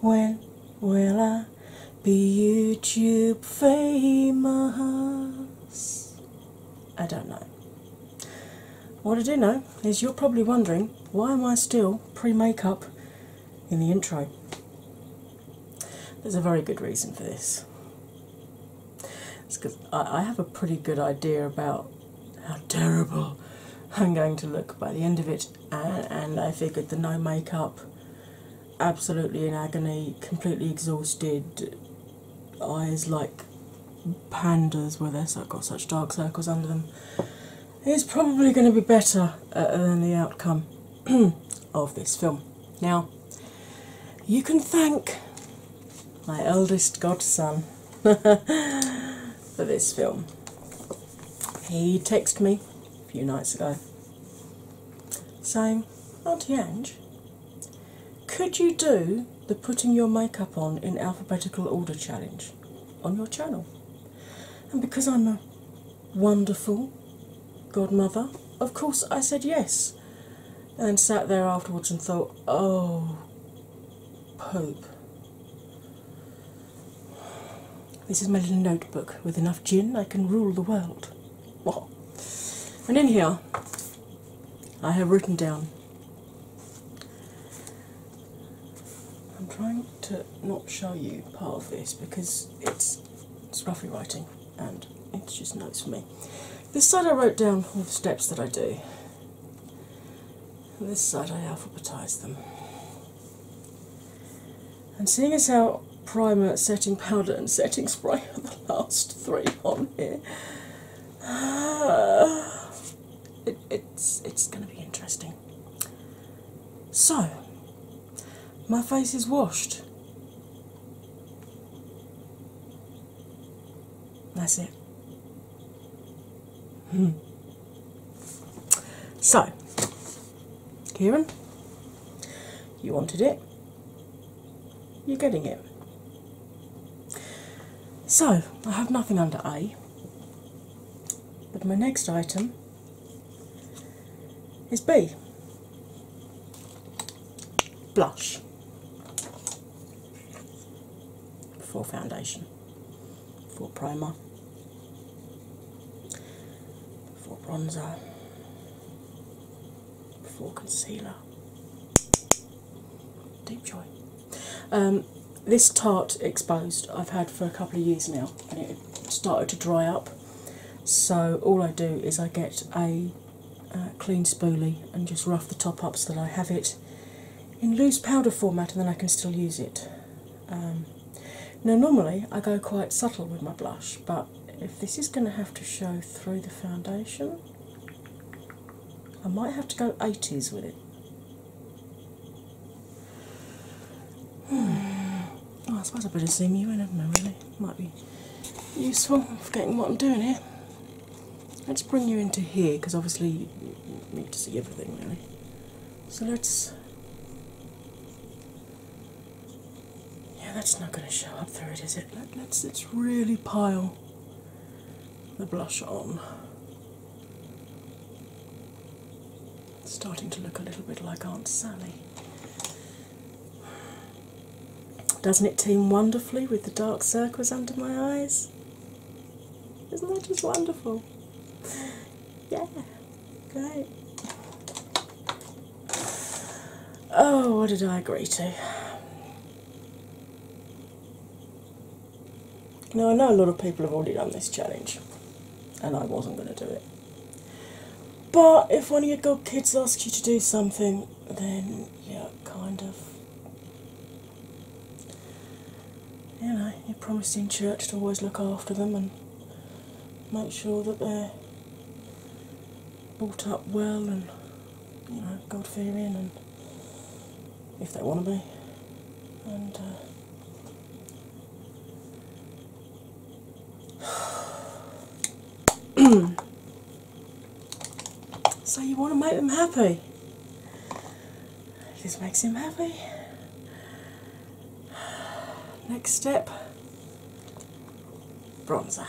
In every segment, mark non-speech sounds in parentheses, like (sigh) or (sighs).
When will I be YouTube famous? I don't know. What I do know is you're probably wondering why am I still pre makeup in the intro? There's a very good reason for this. It's because I, I have a pretty good idea about how terrible I'm going to look by the end of it and, I figured the no makeup, absolutely in agony, completely exhausted, eyes like pandas where they've got such dark circles under them, is probably going to be better uh, than the outcome (clears throat) of this film. Now, you can thank my eldest godson (laughs) for this film. He texted me few nights ago. saying, Auntie Ange, could you do the putting your makeup on in alphabetical order challenge on your channel? And because I'm a wonderful godmother, of course I said yes. And sat there afterwards and thought, oh, Pope. This is my little notebook. With enough gin, I can rule the world. Wow. And in here, I have written down. I'm trying to not show you part of this because it's it's roughly writing and it's just notes for me. This side I wrote down all the steps that I do. this side I alphabetise them. And seeing as how primer, setting powder, and setting spray are the last three on here, (sighs) it's it's going to be interesting. So, my face is washed. That's it. Hmm. So, Karen, you wanted it, you're getting it. So, I have nothing under A, but my next item is B blush for foundation, for primer, before bronzer, before concealer. Deep joy. Um, this Tarte Exposed I've had for a couple of years now and it started to dry up. So all I do is I get a uh, clean spoolie and just rough the top up so that I have it in loose powder format and then I can still use it. Um, now, normally I go quite subtle with my blush, but if this is going to have to show through the foundation, I might have to go 80s with it. (sighs) I suppose I better zoom you in, hadn't I? Really, might be useful. forgetting what I'm doing here. Let's bring you into here because obviously you need to see everything really. So let's yeah, that's not going to show up through it, is it? Let, us let's really pile the blush on. starting to look a little bit like Aunt Sally. Doesn't it team wonderfully with the dark circles under my eyes? Isn't that just wonderful? (laughs) Yeah. Okay. Oh, what did I agree to? Now, I know a lot of people have already done this challenge, and I wasn't going to do it. But if one of your god kids asks you to do something, then yeah, kind of you know, you're promised in church to always look after them and make sure that they're brought up well and, you God fearing and if they want to be. Uh, (sighs) so you want to make them happy. This makes him happy. Next step bronzer.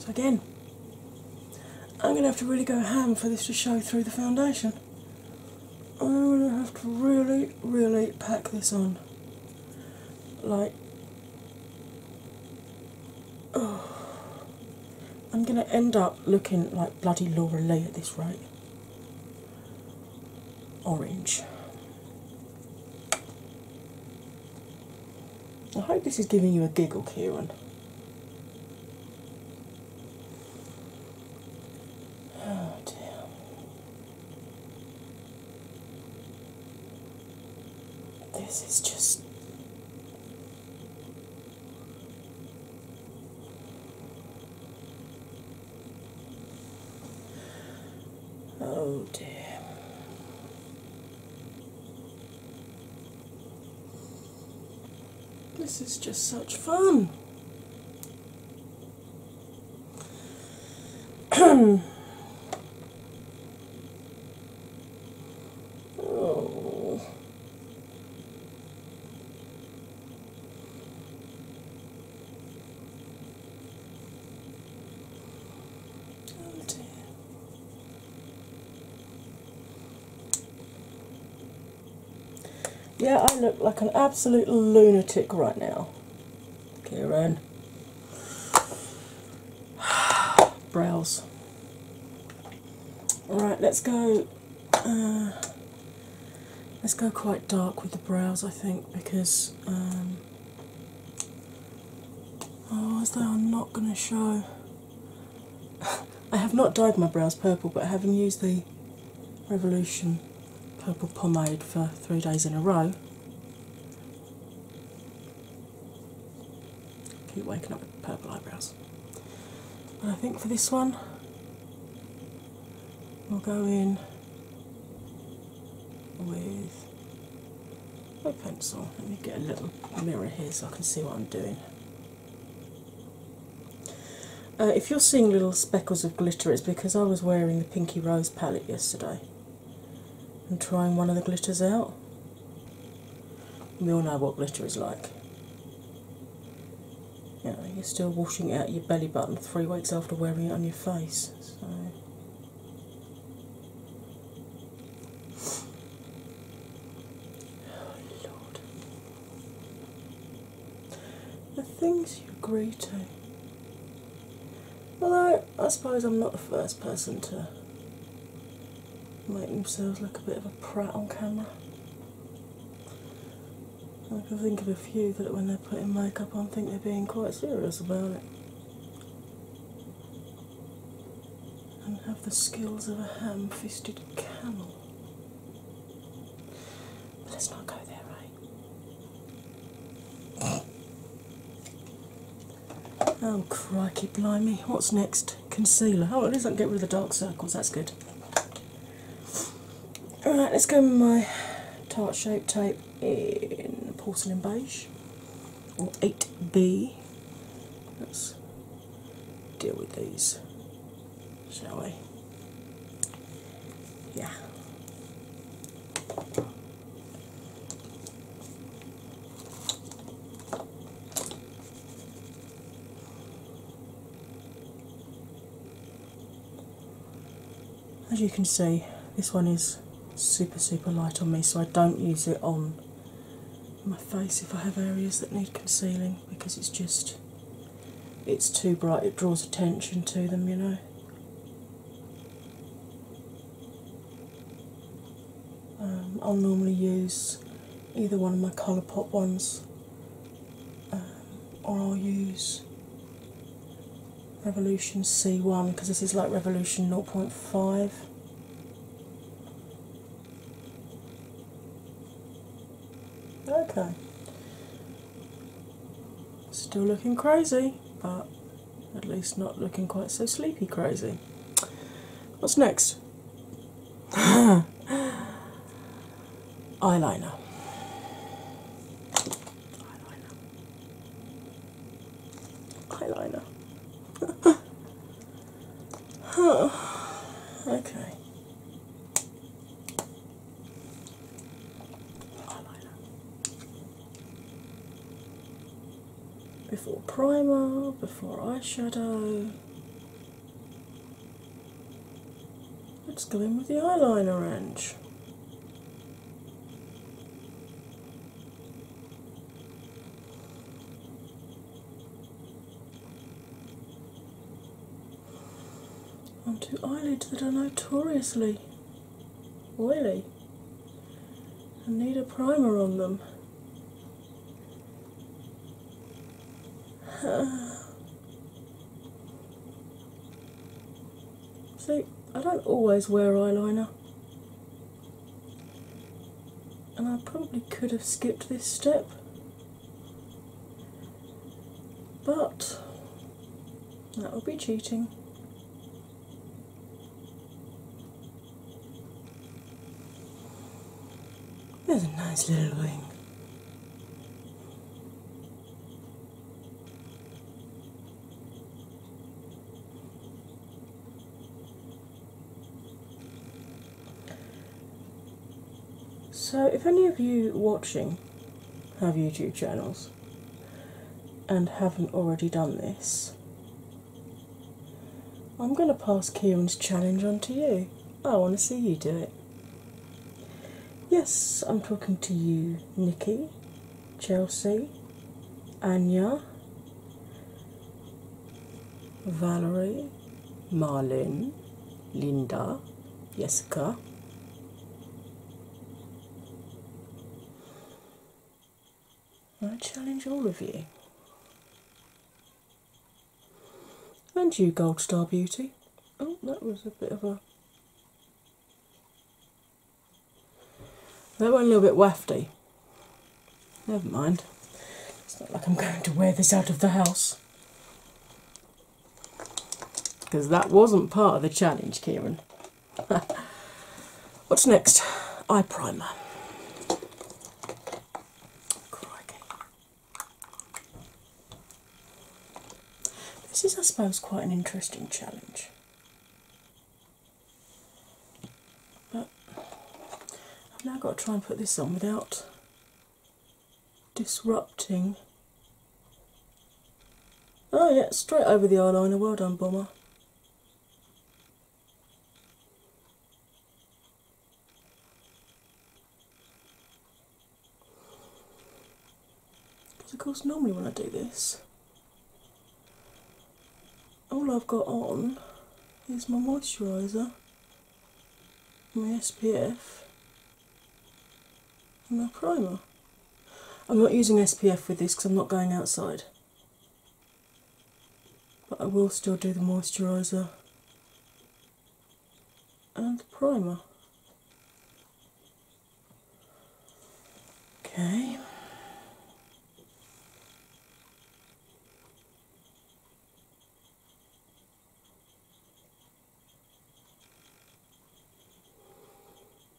So, again, I'm going to have to really go ham for this to show through the foundation. I'm going to have to really, really pack this on. Like, oh, I'm going to end up looking like bloody Laura Lee at this rate. Orange. I hope this is giving you a giggle, Kieran. Oh dear. This is just Oh dear. This is just such fun. (clears throat) oh. Oh, yeah, I look like an absolute lunatic right now. Kieran. (sighs) Brows. Alright, let's go uh, let's go quite dark with the brows I think because um, otherwise they are not going to show. (laughs) I have not dyed my brows purple, but I haven't used the Revolution purple pomade for three days in a row, Keep waking up with purple eyebrows. I think for this one, we'll go in with a pencil. Let me get a little mirror here so I can see what I'm doing. Uh, if you're seeing little speckles of glitter, it's because I was wearing the Pinky Rose palette yesterday and trying one of the glitters out. We all know what glitter is like. You you're still washing out your belly button three weeks after wearing it on your face. So. (sighs) the things you are to. Although I suppose I'm not the first person to make themselves look a bit of a prat on camera. I can think of a few that when they're putting makeup on think they're being quite serious about it. And have the skills of a ham fisted camel. let's not go there, right? Oh crikey, blimey! What's next? Concealer. Oh, at least I get rid of the dark circles. That's good. All right, let's go with my tart shape tape in porcelain beige or 8B. Let's deal with these, shall we? Yeah. As you can see, this one is super super light on me, so I don't use it on my face if I have areas that need concealing because it's just it's too bright, it draws attention to them, you know. Um, I'll normally use either one of my color pop ones um, or I'll use Revolution C1 because this is like Revolution 0.5. Okay. Still looking crazy, but at least not looking quite so sleepy crazy. What's next? (gasps) eyeliner. Eyeliner. Eyeliner. (laughs) Okay. Eyeliner before primer, before eyeshadow. Let's go in with the eyeliner range. two eyelids that are notoriously oily and need a primer on them. (sighs) See, I don't always wear eyeliner, and I probably could have skipped this step, but that would be cheating. There's a nice little wing. So, if any of you watching have YouTube channels and haven't already done this, I'm going to pass Kieran's challenge on to you. I want to see you do it. Yes, I'm talking to you, Nikki, Chelsea, Anya, Valerie, Marlene, Linda, Jessica. I challenge all of you. And you, Gold Star Beauty. Oh, that was a bit of a. That went a little bit wafty. Never mind. It's not like I'm going to wear this out of the house. Because that wasn't part of the challenge, Kieran. (laughs) What's next? Eye primer. This is, I suppose, quite an interesting challenge. But I've now got to try and put this on without disrupting. Oh, yeah, straight over the eyeliner. Well done, Bomber. Because, of course, normally when I do this, all I've got on is my moisturiser, my SPF, and my primer. I'm not using SPF with this because I'm not going outside but I will still do the moisturiser and the primer. Okay.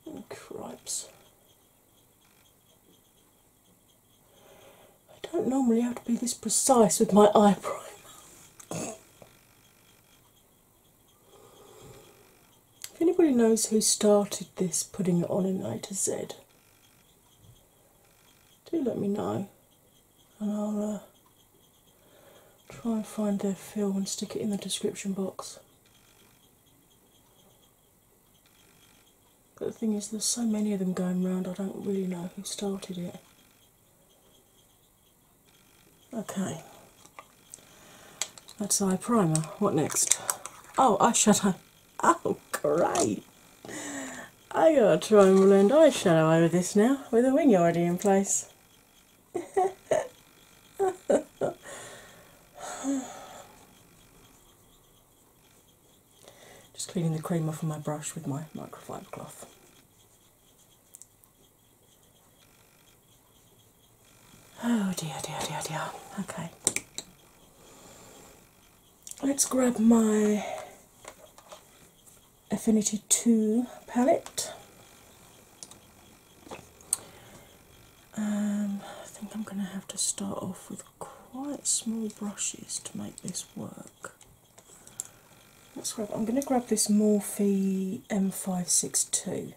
Oh, I don't normally have to be this precise with my eye primer. if anybody knows who started this putting it on in A to Z, do let me know and I'll uh, try and find their film and stick it in the description box. But the thing is, there's so many of them going round, I don't really know who started it. Okay, that's eye primer. What next? Oh, eyeshadow. (laughs) Oh, great! I got a triangle and eyeshadow over this now with a wing already in place. (laughs) Just cleaning the cream off of my brush with my microfiber cloth. Oh dear, dear, dear, dear. Okay. Let's grab my Affinity 2 palette. Um, I think I'm going to have to start off with quite small brushes to make this work. Let's grab, I'm going to grab this Morphe M562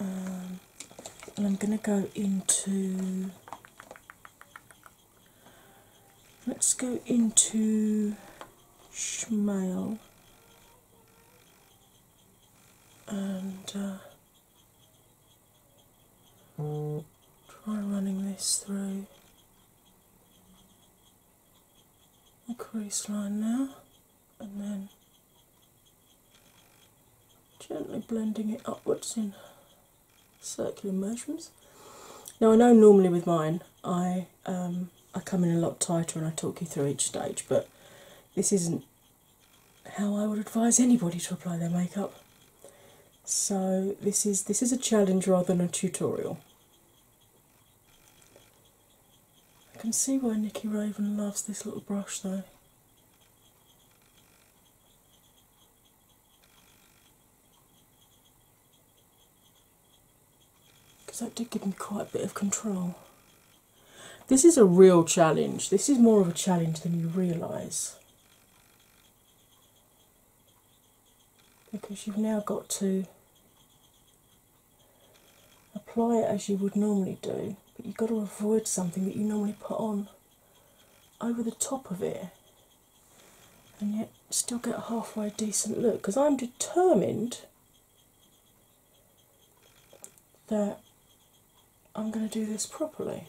um, I'm going to go into. Let's go into Schmale and uh, I'll mm, try running this through the crease line now and then gently blending it upwards in circular motions. Now I know normally with mine I um, I come in a lot tighter and I talk you through each stage, but this isn't how I would advise anybody to apply their makeup. So this is this is a challenge rather than a tutorial. I can see why Nikki Raven loves this little brush though. Because that did give me quite a bit of control. This is a real challenge. This is more of a challenge than you realise because you've now got to apply it as you would normally do, but you've got to avoid something that you normally put on over the top of it and yet still get a halfway decent look because I'm determined that I'm going to do this properly.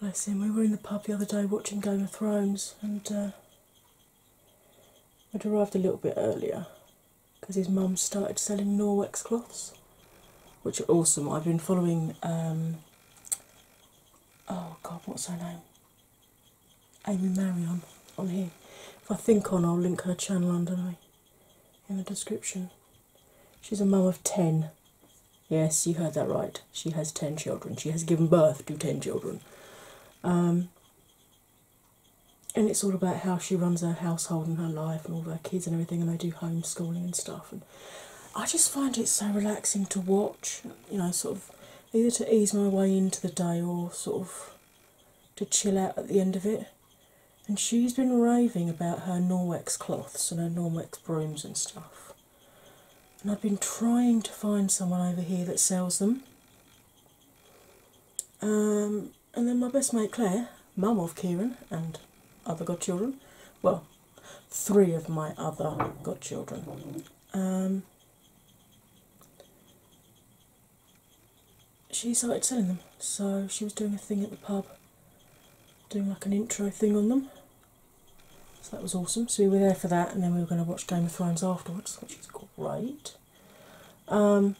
Bless him. We were in the pub the other day watching Game of Thrones, and uh, I'd arrived a little bit earlier because his mum started selling Norwex cloths, which are awesome. I've been following. Um, oh God, what's her name? Amy Marion on here. If I think on, I'll link her channel under me in the description. She's a mum of 10. Yes, you heard that right. She has 10 children. She has given birth to 10 children. Um, and it's all about how she runs her household and her life and all her kids and everything, and they do homeschooling and stuff. And I just find it so relaxing to watch you know, sort of either to ease my way into the day or sort of to chill out at the end of it. And she's been raving about her Norwex cloths and her Norwex brooms and stuff. And I've been trying to find someone over here that sells them. Um, and then my best mate Claire, mum of Kieran and other godchildren, well, three of my other godchildren, um, she started selling them. So she was doing a thing at the pub, doing like an intro thing on them. So that was awesome. So we were there for that, and then we were going to watch Game of Thrones afterwards, which is great. Um,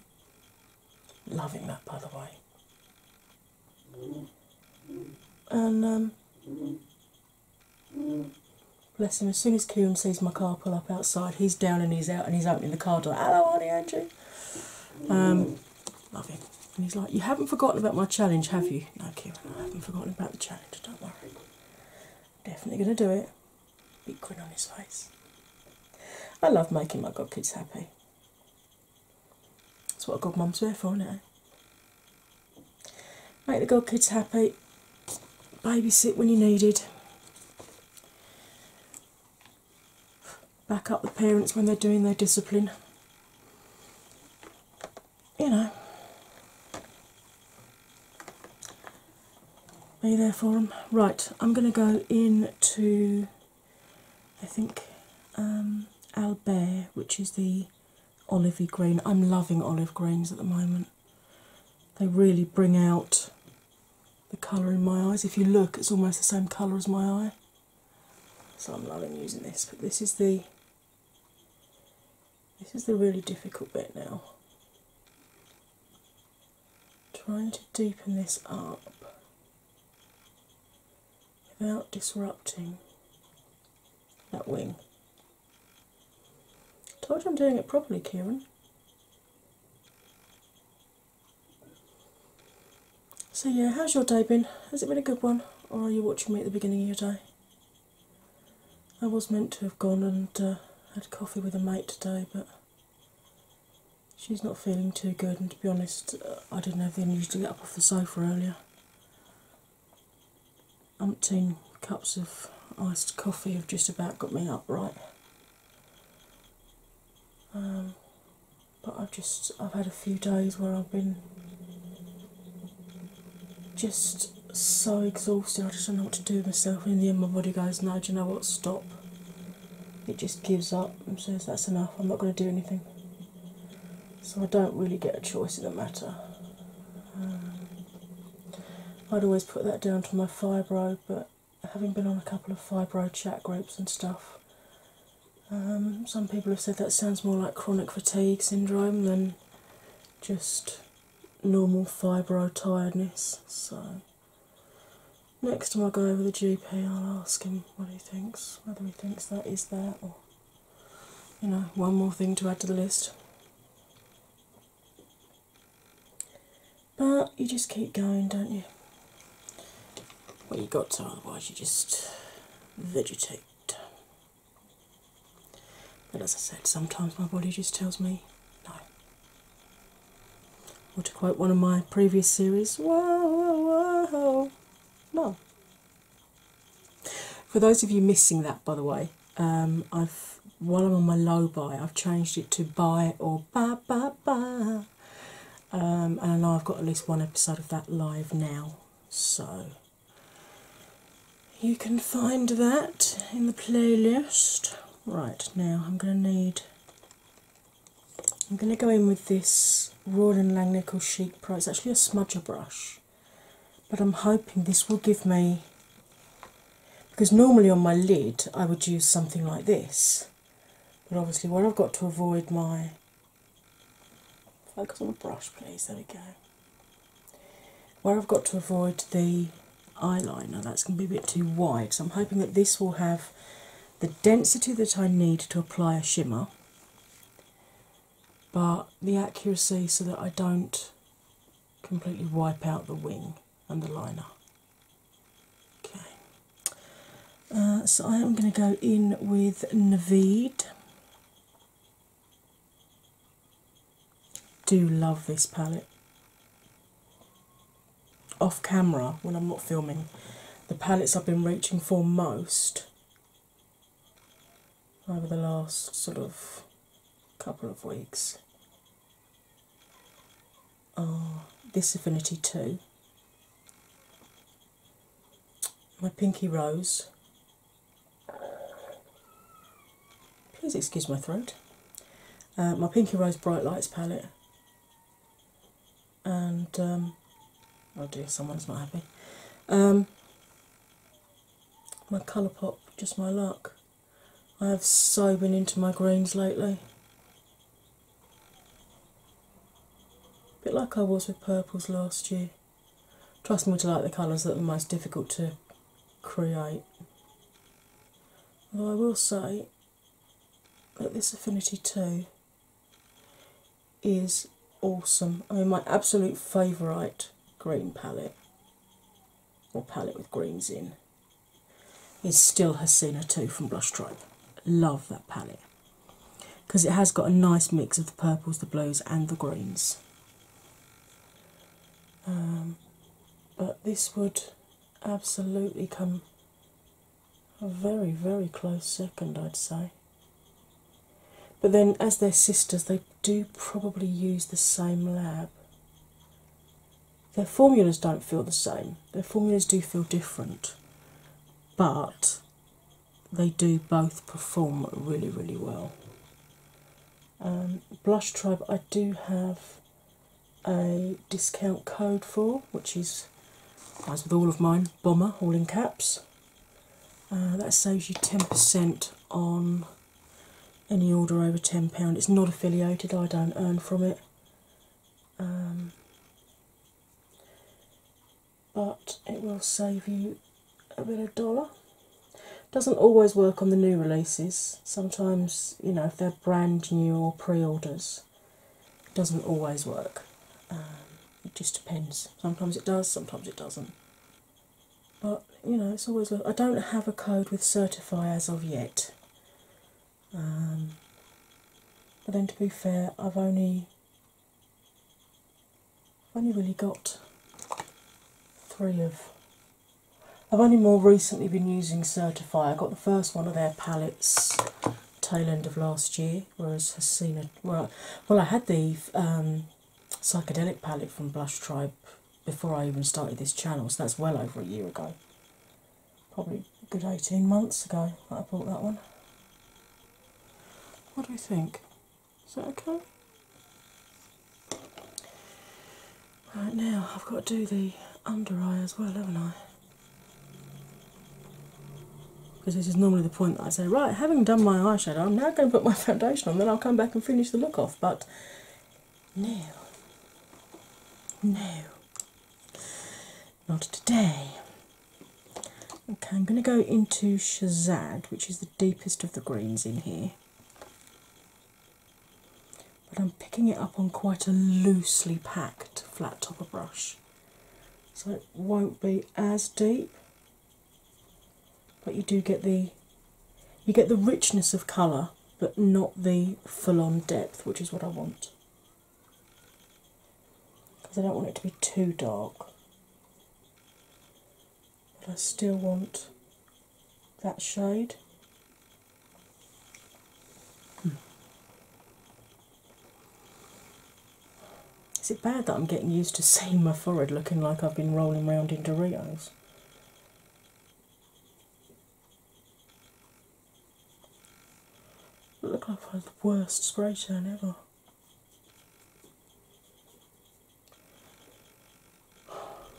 loving that, by the way. And um, Bless him, as soon as Kieran sees my car pull up outside, he's down and he's out and he's opening the car door. Hello, Arnie Andrew. Um, love him. And he's like, You haven't forgotten about my challenge, have you? No, Kieran, I haven't forgotten about the challenge, don't worry. Definitely going to do it. Big grin on his face. I love making my god kids happy. That's what a godmum's there for, is it? Eh? Make the godkids happy, babysit when you needed, back up the parents when they're doing their discipline. You know, be there for them. Right, I'm going to go in to, I think, um, Albert, which is the olivey green. I'm loving olive greens at the moment they really bring out the colour in my eyes. If you look, it's almost the same colour as my eye. So I'm loving using this, but this is the this is the really difficult bit now. Trying to deepen this up without disrupting that wing. Told you I'm doing it properly, Kieran. So yeah, how's your day been? Has it been a good one, or are you watching me at the beginning of your day? I was meant to have gone and uh, had coffee with a mate today, but she's not feeling too good. And to be honest, uh, I didn't have the energy to get up off the sofa earlier umpteen cups of iced coffee have just about got me up right. Um, but I've just I've had a few days where I've been just so exhausted. I just don't know what to do myself. And then my body goes, "No, do you know what? Stop." It just gives up and says, "That's enough. I'm not going to do anything." So I don't really get a choice in the matter. Um, I'd always put that down to my fibro, but having been on a couple of fibro chat groups and stuff, um, some people have said that sounds more like chronic fatigue syndrome than just normal fibro tiredness. So, next time I go over the GP, I'll ask him what he thinks, whether he thinks that is there or. You know, one more thing to add to the list. But you just keep going, don't you? Well, you got to, otherwise, you just vegetate. But as I said, sometimes my body just tells me no. Or to quote one of my previous series, whoa, whoa, whoa, no. For those of you missing that, by the way, um, I've while I'm on my low buy, I've changed it to buy or ba ba ba. Um, and I have got at least one episode of that live now, so you can find that in the playlist. Right now, I'm going to need. I'm going to go in with this Royal and Langnickel Chic Pro. It's actually a smudger brush, but I'm hoping this will give me because normally on my lid I would use something like this, but obviously, what I've got to avoid my focus on the brush, please. There we go. Where I've got to avoid the eyeliner, that's going to be a bit too wide, so I'm hoping that this will have the density that I need to apply a shimmer, but the accuracy so that I don't completely wipe out the wing and the liner. Okay, uh, so I am going to go in with Navid. Do love this palette. Off camera, when I'm not filming, the palettes I've been reaching for most over the last sort of couple of weeks. Oh, this Affinity 2. My Pinky Rose. Please excuse my throat. Uh, my Pinky Rose Bright Lights palette. And, i um, oh dear, someone's not happy. Um, my Colourpop, Just My Luck. I have so been into my greens lately. A bit like I was with purples last year. Trust me to like the colours that are most difficult to create. I will say that this Affinity 2 is awesome. I mean, my absolute favourite green palette or palette with greens in is still Hasina 2 from Blush Tribe. Love that palette because it has got a nice mix of the purples, the blues, and the greens. Um, but this would absolutely come a very, very close second, I'd say. But then, as their sisters, they do probably use the same lab. Their formulas don't feel the same, their formulas do feel different, but they do both perform really, really well. Um, Blush Tribe, I do have a discount code for, which is, as with all of mine, Bomber, all in caps. Uh, that saves you 10% on any order over £10. It's not affiliated, I don't earn from it. Um, but it will save you a bit of dollar. Doesn't always work on the new releases. Sometimes, you know, if they're brand new or pre orders, it doesn't always work. Um, it just depends. Sometimes it does, sometimes it doesn't but you know it's always i don't have a code with certify as of yet um, but then to be fair i've only only really got three of i've only more recently been using certify i got the first one of their palettes tail end of last year whereas Hasina, well well i had the um, psychedelic palette from blush tribe before I even started this channel, so that's well over a year ago. Probably good 18 months ago I bought that one. What do we think? Is that okay? Right now, I've got to do the under eye as well, haven't I? Because this is normally the point that I say, right, having done my eye shadow, I'm now going to put my (laughs) foundation on, then I'll come back and finish the look off. But no. No. Not today. Okay, I'm going to go into Shazad, which is the deepest of the greens in here. But I'm picking it up on quite a loosely packed flat topper brush, so it won't be as deep but you do get the you get the richness of colour but not the full-on depth which is what I want because I don't want it to be too dark but I still want that shade hmm. Is it bad that I'm getting used to (laughs) seeing my forehead looking like I've been rolling around in Doritos? Look like I've the worst spray tan ever.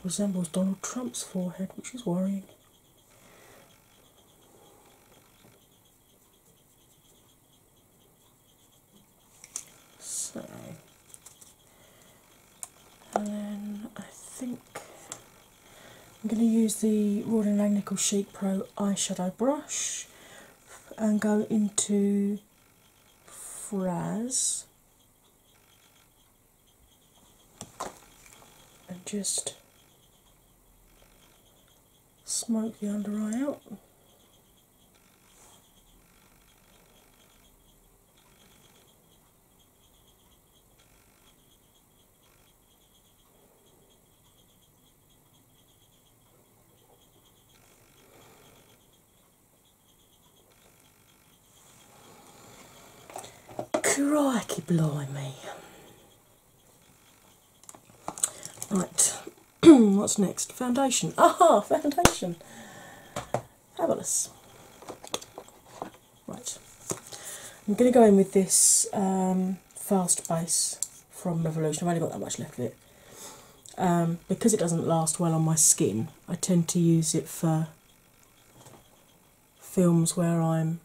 Resembles Donald Trump's forehead, which is worrying. So and then I think I'm going to use the Royal and Langnickel Chic Pro eyeshadow brush and go into Fraz and just smoke the under eye out. Crikey blimey. Right, (clears throat) what's next? Foundation. Aha, foundation. Fabulous. Right, I'm going to go in with this um, fast base from Revolution. I've only got that much left of it. Um, because it doesn't last well on my skin, I tend to use it for films where I'm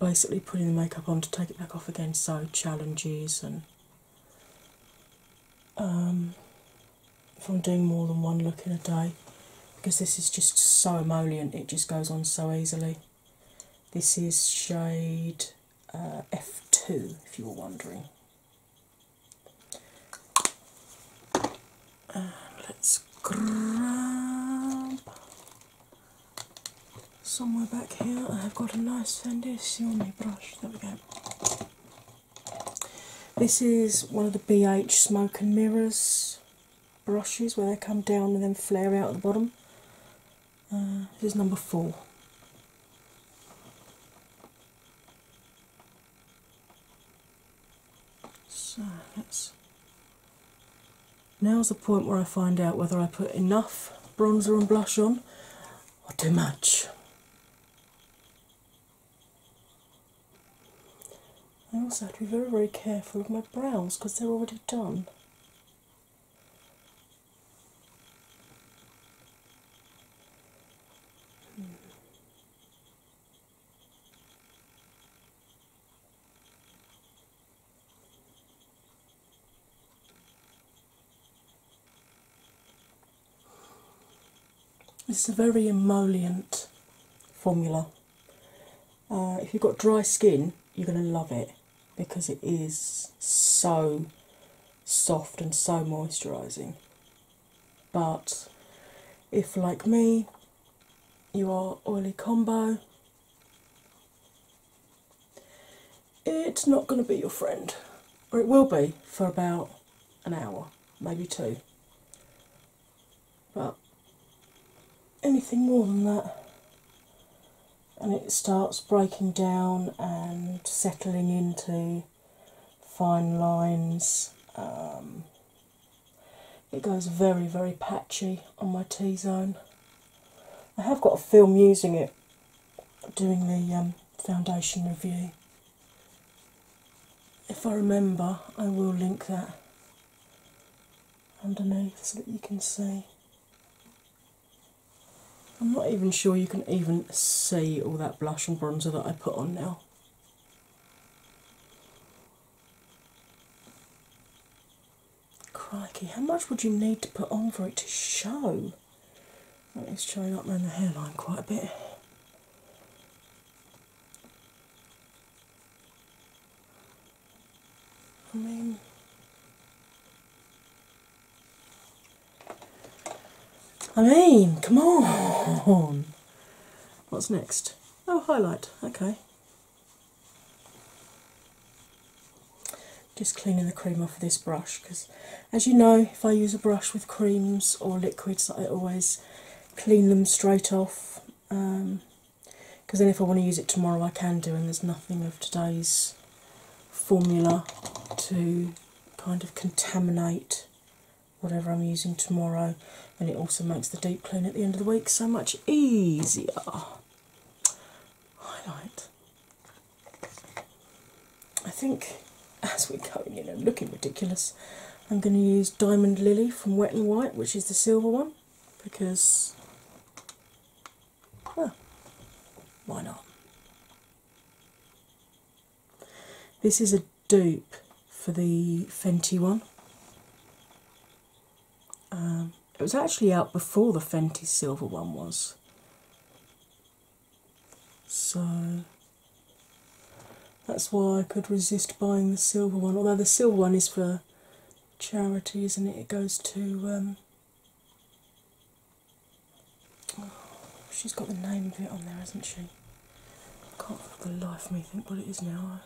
basically putting the makeup on to take it back off again, so challenges and um, if I'm doing more than one look in a day because this is just so emollient, it just goes on so easily. This is shade uh, F2, if you were wondering. let's grab somewhere back here. I've got a nice foundation brush. There we go. This is one of the BH Smoke and Mirrors brushes where they come down and then flare out at the bottom. Uh, this is number four. So that's now's the point where I find out whether I put enough bronzer and blush on or too much. I also have to be very, very careful of my brows because they're already done. It's a very emollient formula. Uh, if you've got dry skin, you're going to love it because it is so soft and so moisturising. But if, like me, you are oily combo, it's not going to be your friend, or it will be for about an hour, maybe two but anything more than that, and it starts breaking down and settling into fine lines. Um, it goes very, very patchy on my T zone. I have got a film using it doing the um, foundation review, if I remember, I will link that underneath so that you can see. I'm not even sure you can even see all that blush and bronzer that I put on now. Crikey, how much would you need to put on for it to show? Let it's try up around the hairline quite a bit. I mean, I mean, come on. What's next? Oh, highlight. Okay. Just cleaning the cream off of this brush because, as you know, if I use a brush with creams or liquids, I always clean them straight off because um, then if I want to use it tomorrow, I can do, and there's nothing of today's formula to kind of contaminate whatever I'm using tomorrow, and it also makes the deep clean at the end of the week so much easier. Highlight. I think as we're going, in and looking ridiculous, I'm going to use Diamond Lily from Wet and White, which is the silver one, because, why not? This is a dupe for the Fenty one. Um, it was actually out before the Fenty silver one was. So that's why I could resist buying the silver one, although the silver one is for charity, isn't it? It goes to. Um, oh, she's got the name of it on there, hasn't she? I can't for the life of me think what it is now.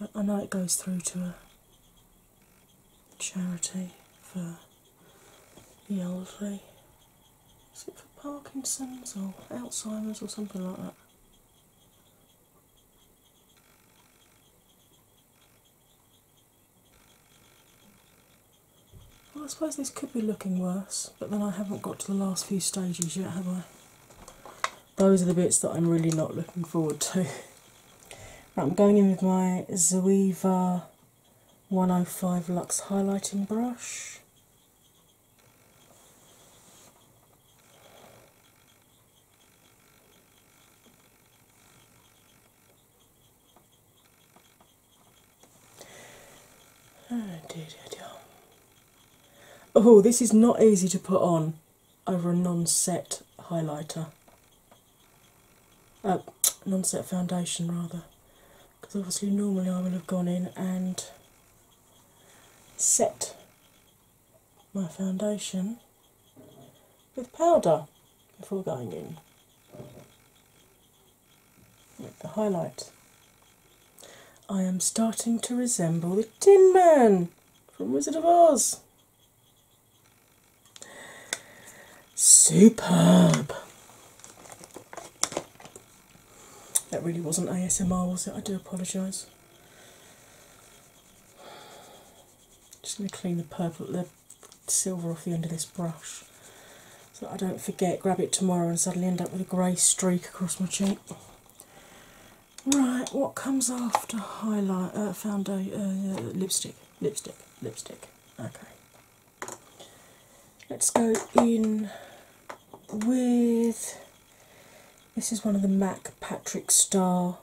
But I know it goes through to a charity for the elderly. Is it for Parkinson's or Alzheimer's or something like that? I suppose this could be looking worse, but then I haven't got to the last few stages yet, have I? Those are the bits that I'm really not looking forward to. I'm going in with my Zoeva 105 Luxe highlighting brush. Oh, oh, this is not easy to put on over a non-set highlighter, A uh, non-set foundation rather because obviously normally I would have gone in and set my foundation with powder before going in with the highlight. I am starting to resemble the Tin Man from Wizard of Oz. Superb! That really wasn't ASMR, was it? I do apologise. Just going to clean the purple, the silver off the end of this brush, so I don't forget. Grab it tomorrow and suddenly end up with a grey streak across my cheek. Right, what comes after highlight? Uh, foundation, uh, lipstick, lipstick, lipstick. Okay. Let's go in with this is one of the MAC Patrick Star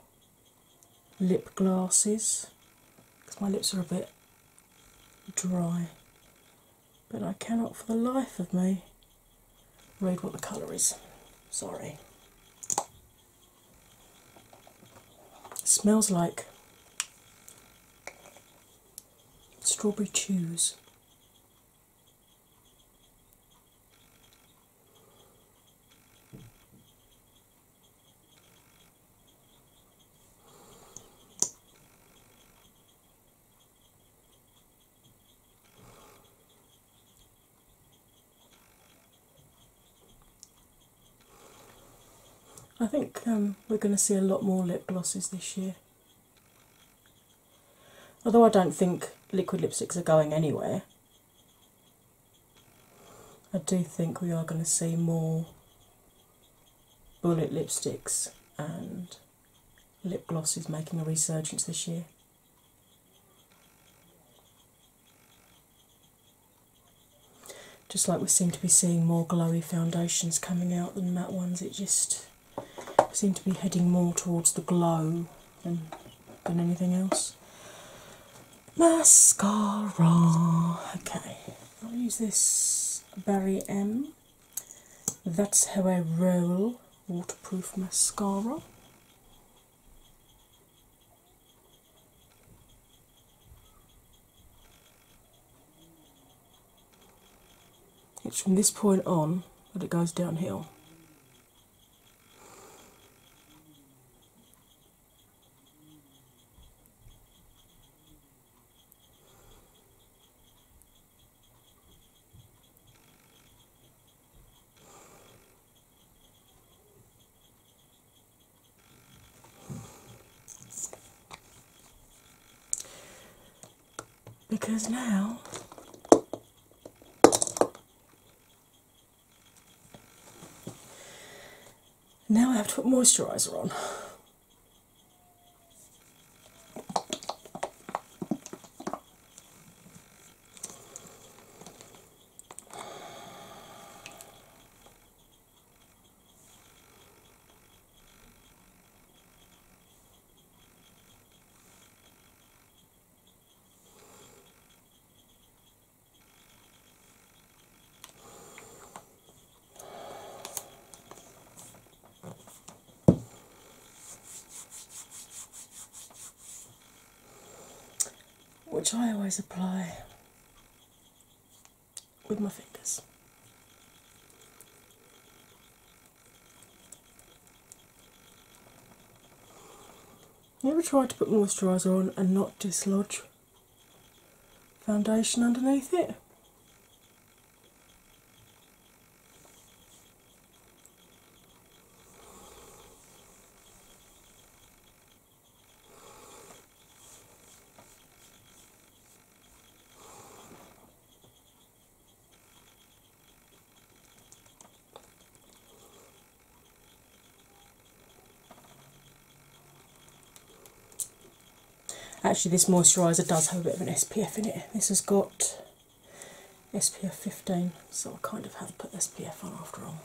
lip glasses because my lips are a bit dry, but I cannot for the life of me read what the colour is. Sorry. smells like Strawberry Chews. I think um, we're going to see a lot more lip glosses this year. Although I don't think liquid lipsticks are going anywhere, I do think we are going to see more bullet lipsticks and lip gloss is making a resurgence this year. Just like we're seeing to be seeing more glowy foundations coming out than matte ones. It just seemed to be heading more towards the glow than anything else. Mascara. Okay, I'll use this Barry M. That's how I roll waterproof mascara. It's from this point on that it goes downhill. Because now now I have to put moisturiser on which I always apply with my fingers. Never tried to put moisturiser on and not dislodge foundation underneath it. Actually, this moisturiser does have a bit of an SPF in it. This has got SPF 15, so I kind of have to put SPF on after all.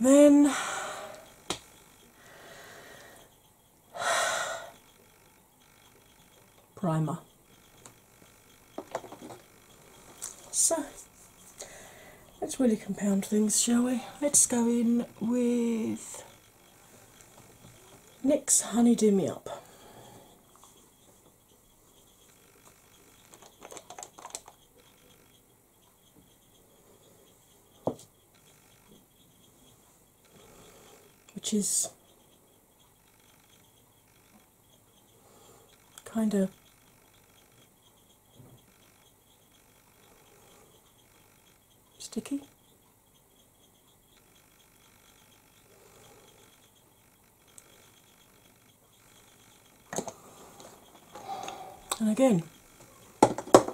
Then (sighs) primer. So let's really compound things, shall we? Let's go in with NYX Honeydew Me Up which is kind of sticky. And again,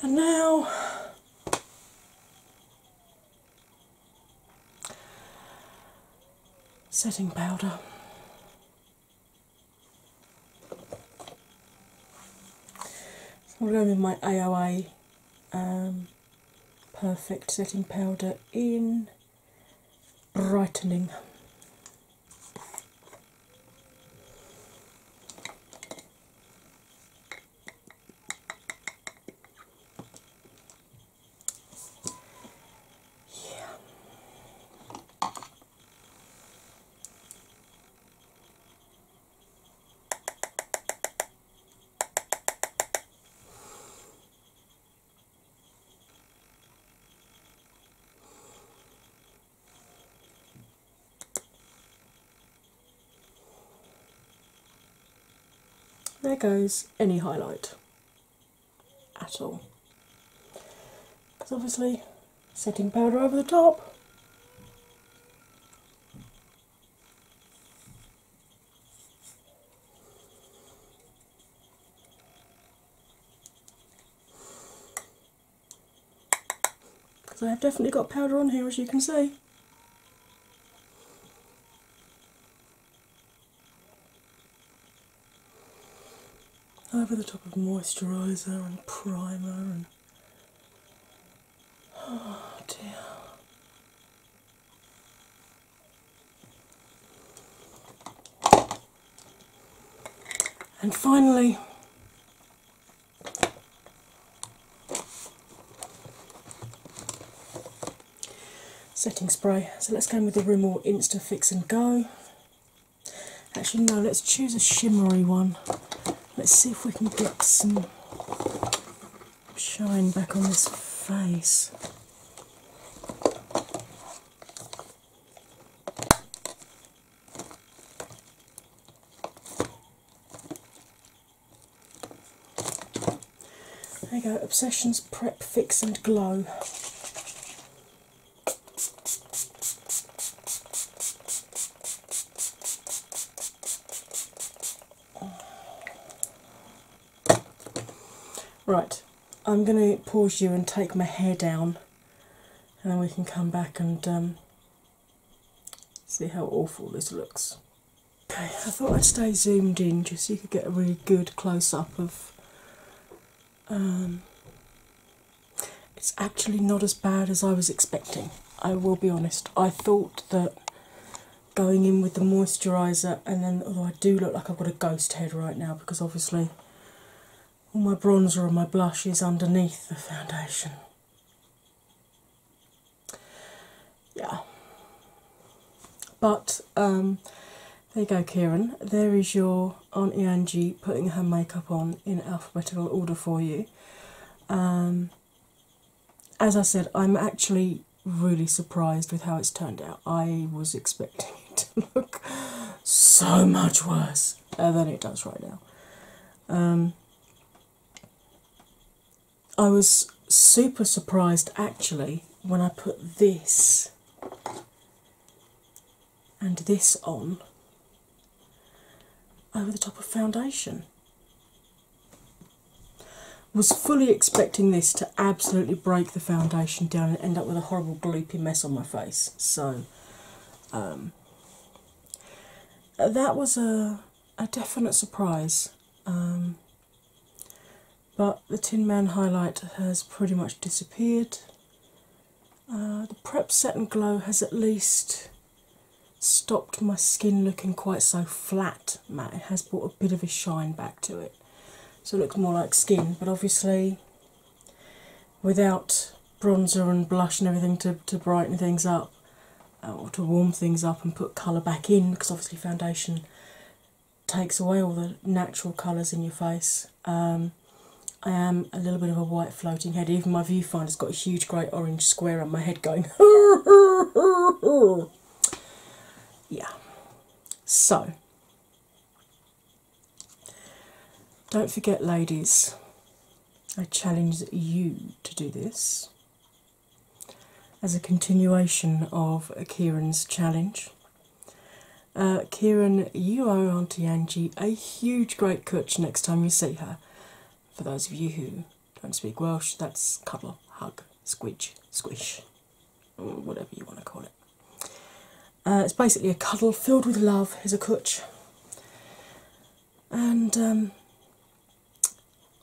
And now setting powder. I'm going with my AOA perfect setting powder in brightening. Yeah. There goes any highlight at all. Because obviously, setting powder over the top because I've definitely got powder on here as you can see. Over the top of moisturiser and primer Oh, and finally, setting spray. So let's go in with the Rimmel Insta Fix and Go. Actually, no, let's choose a shimmery one. Let's see if we can get some shine back on this face. There you go, Obsessions Prep Fix and Glow. Right, I'm going to pause you and take my hair down, and then we can come back and um, see how awful this looks. Okay, I thought I'd stay zoomed in just so you could get a really good close up of. Um, it's actually not as bad as I was expecting. I will be honest. I thought that going in with the moisturiser, and then although I do look like I've got a ghost head right now because obviously all my bronzer and my blush is underneath the foundation. Yeah. But um, there you go, Kieran. There is your Auntie Angie putting her makeup on in alphabetical order for you. Um, as I said, I'm actually really surprised with how it's turned out. I was expecting (laughs) it to look so much worse uh, than it does right now. Um, I was super surprised actually when I put this and this on over the top of foundation. Was fully expecting this to absolutely break the foundation down and end up with a horrible gloopy mess on my face. So um, that was a a definite surprise. Um, but the Tin Man highlight has pretty much disappeared. Uh, the Prep Set and Glow has at least stopped my skin looking quite so flat Matt, It has brought a bit of a shine back to it. So it looks more like skin, but obviously without bronzer and blush and everything to, to brighten things up uh, or to warm things up and put colour back in because obviously foundation takes away all the natural colours in your face. Um, I am a little bit of a white floating head. Even my viewfinder's got a huge great orange square on my head going (laughs) yeah. So, don't forget, ladies, I challenge you to do this as a continuation of Kieran's challenge. Uh, Kieran, you owe Auntie Angie a huge great kutch next time you see her. For those of you who don't speak Welsh, that's cuddle, hug, squidge, squish, whatever you want to call it. Uh, it's basically a cuddle filled with love, is a kutch. And um,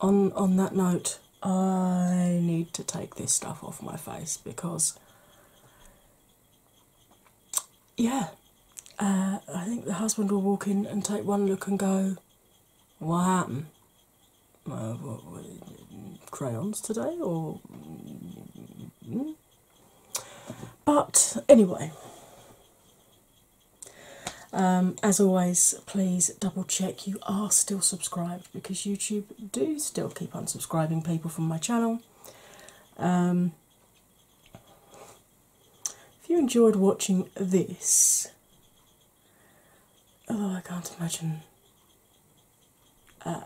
on on that note, I need to take this stuff off my face because yeah, uh, I think the husband will walk in and take one look and go, what happened? Uh, crayons today, or. Hmm? But anyway, um, as always, please double check you are still subscribed because YouTube do still keep unsubscribing people from my channel. Um, if you enjoyed watching this, although I can't imagine uh,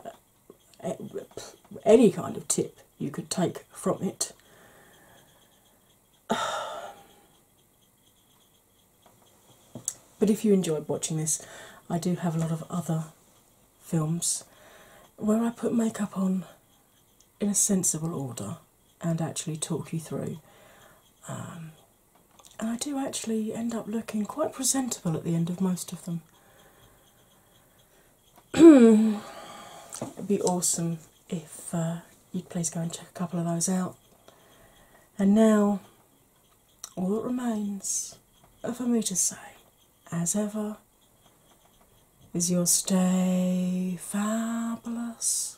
any kind of tip you could take from it. (sighs) But if you enjoyed watching this, I do have a lot of other films where I put makeup on in a sensible order and actually talk you through. Um, and I do actually end up looking quite presentable at the end of most of them. it would be awesome if uh, you'd please go and check a couple of those out. And now, all that remains for me to say, as ever, is your stay fabulous